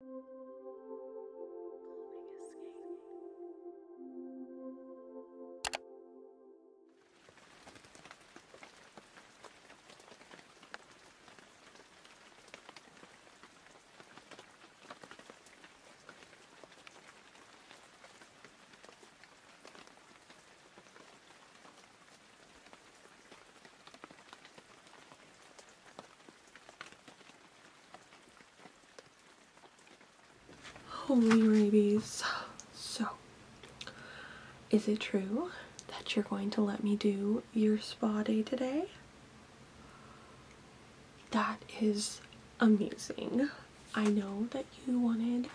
Calming escape. Holy rabies. So, is it true that you're going to let me do your spa day today? That is amazing. I know that you wanted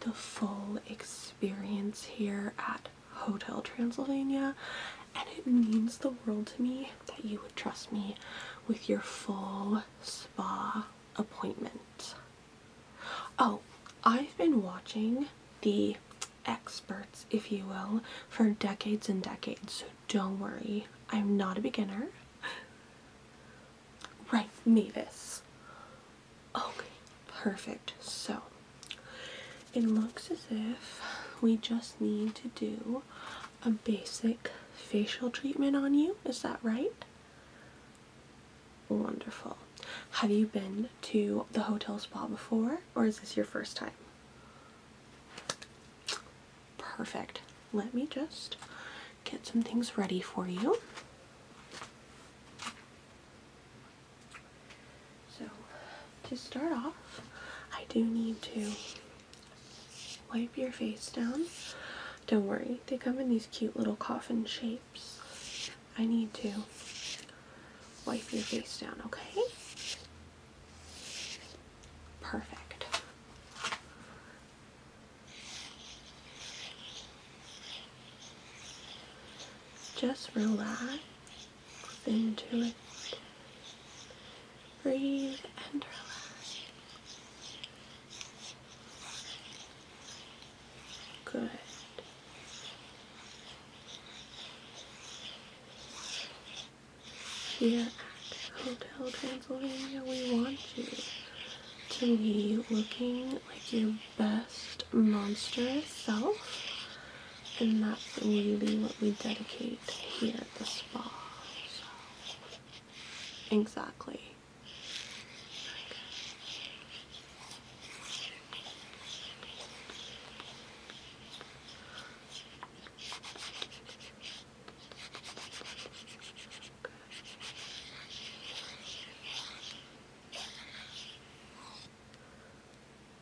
the full experience here at Hotel Transylvania and it means the world to me that you would trust me with your full spa appointment. Oh, I've been watching the experts, if you will, for decades and decades, so don't worry, I'm not a beginner. Right, Mavis. Okay, perfect. So, it looks as if we just need to do a basic facial treatment on you. Is that right? Wonderful. Have you been to the hotel spa before or is this your first time? Perfect. Let me just get some things ready for you. So to start off, I do need to wipe your face down. Don't worry, they come in these cute little coffin shapes. I need to wipe your face down, okay? Perfect. Just relax into it. Breathe and relax. Good. Here at Hotel Transylvania, we want you to be looking like your best monster self and that's really what we dedicate here at the spa. Exactly.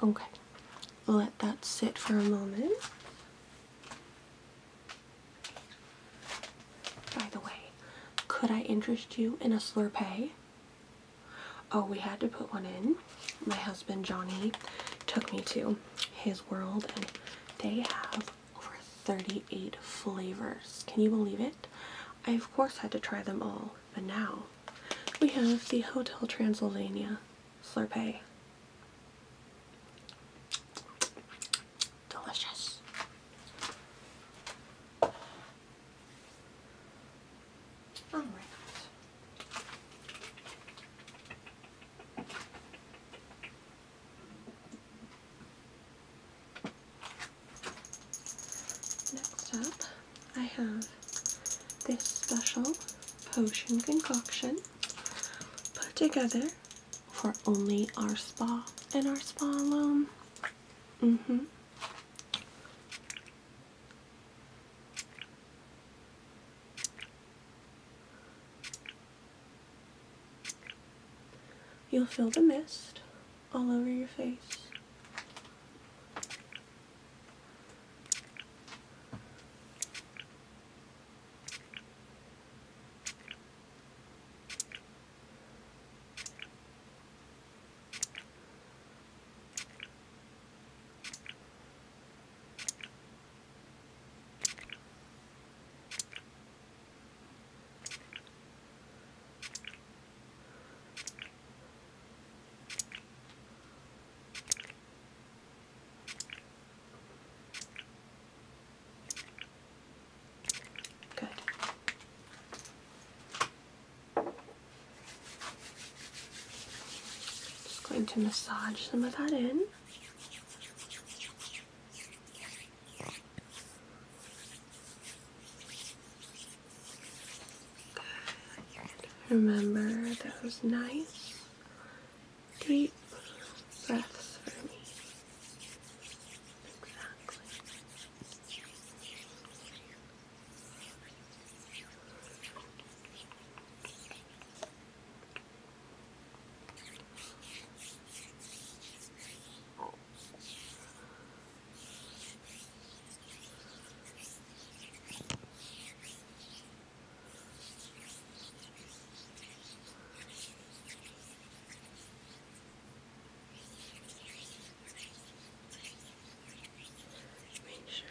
Okay, let that sit for a moment. By the way, could I interest you in a Slurpee? Oh, we had to put one in. My husband Johnny took me to his world, and they have over 38 flavors. Can you believe it? I, of course, had to try them all, but now we have the Hotel Transylvania Slurpee. Delicious. All right. Next up, I have this special potion concoction put together for only our spa and our spa alone. hmm. You'll feel the mist all over your face. Good. Just going to massage some of that in. Good. Remember those nice deep breaths for me. Exactly.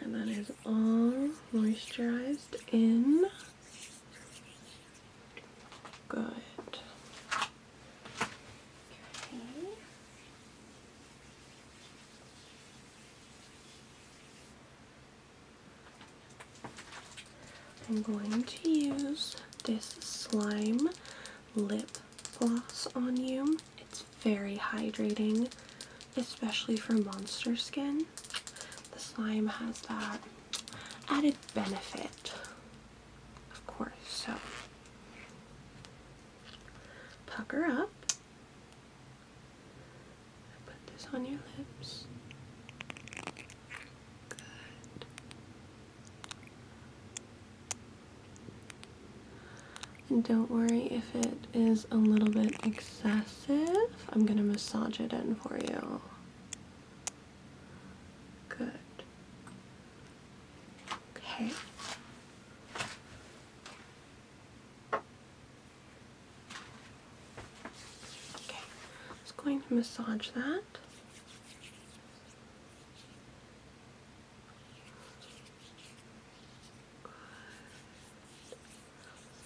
Make sure that is all moisturized in. Good. Okay. I'm going to use this slime lip gloss on you. It's very hydrating, especially for monster skin. The slime has that added benefit, of course. So pucker up. Put this on your lips. Good. And don't worry if it is a little bit excessive. I'm going to massage it in for you. Good. Okay. Okay, just going to massage that.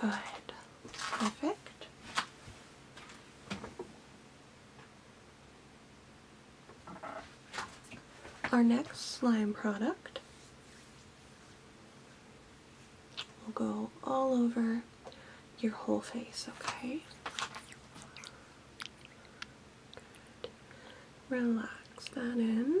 Good. Perfect. Our next slime product will go all over your whole face, okay? Relax that in.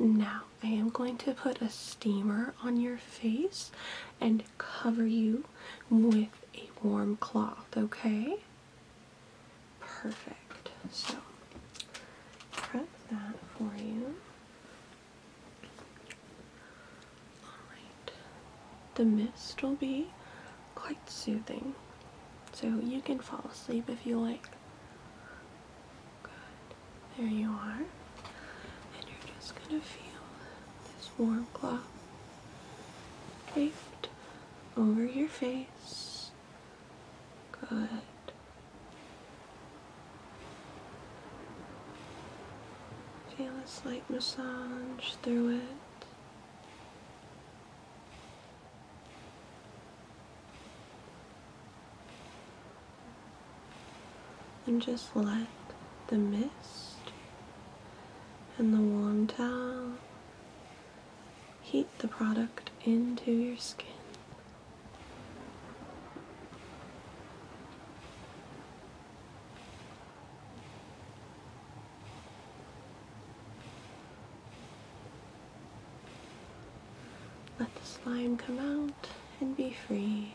now I am going to put a steamer on your face and cover you with a warm cloth, okay? Perfect. So, prep that for you. Alright the mist will be quite soothing. So you can fall asleep if you like. There you are. And you're just going to feel this warm cloth draped over your face. Good. Feel a slight massage through it. And just let the mist and the warm towel heat the product into your skin. Let the slime come out and be free.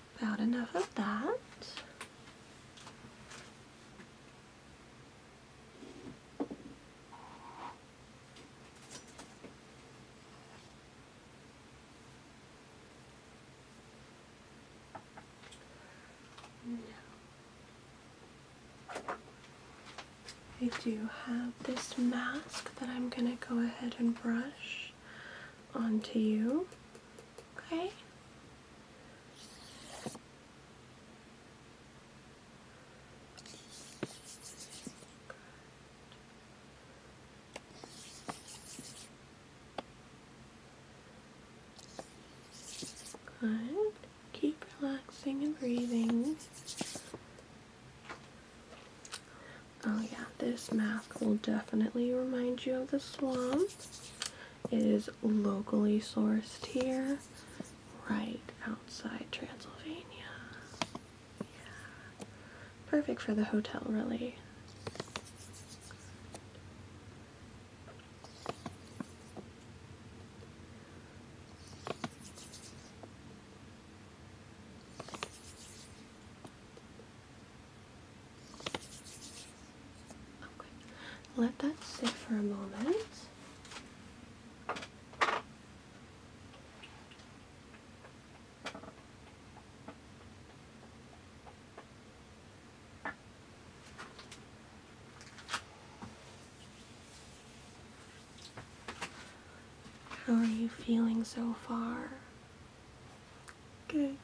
About enough of that. No. I do have this mask that I'm going to go ahead and brush onto you. Okay? Good. Keep relaxing and breathing. Oh, yeah, this mask will definitely remind you of the swamp. It is locally sourced here, right outside Transylvania. Perfect for the hotel, really. Okay. Let that sit for a moment. How are you feeling so far? Good.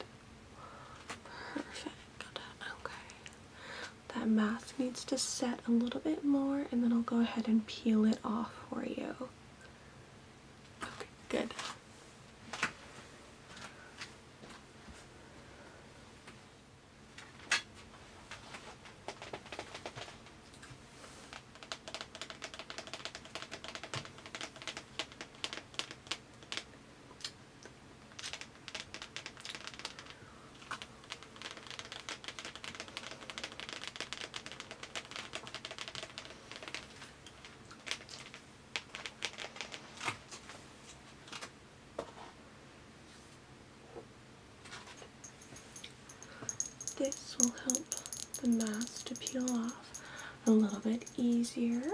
Perfect. Okay. That mask needs to set a little bit more and then I'll go ahead and peel it off for you. Okay, good. This will help the mask to peel off a little bit easier.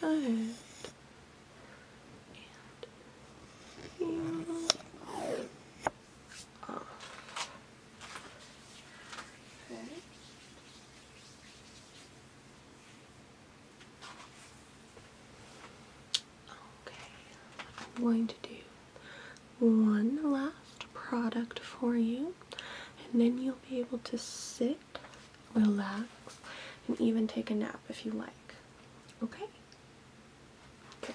Good. And peel off. Okay, I'm going to do one last product for you, and then you'll be able to sit, relax, and even take a nap if you like. Okay? Good.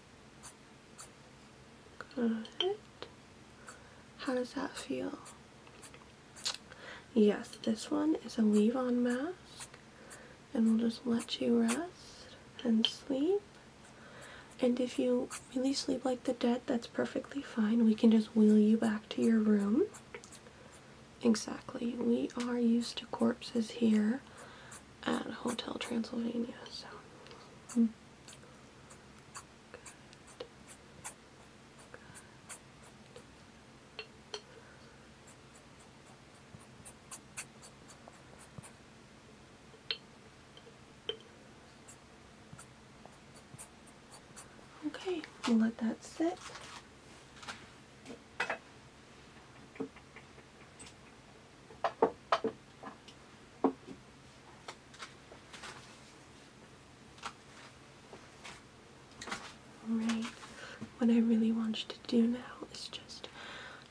How does that feel? Yes, this one is a leave on mask, and we'll just let you rest and sleep. And if you really sleep like the dead, that's perfectly fine. We can just wheel you back to your room. Exactly. We are used to corpses here at Hotel Transylvania. So. Hmm. Okay, we'll let that sit. Alright, what I really want you to do now is just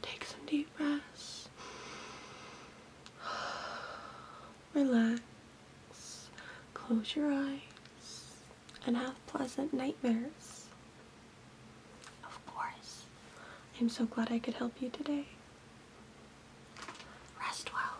take some deep breaths, relax, close your eyes, and have pleasant nightmares. Of course. I'm so glad I could help you today. Rest well.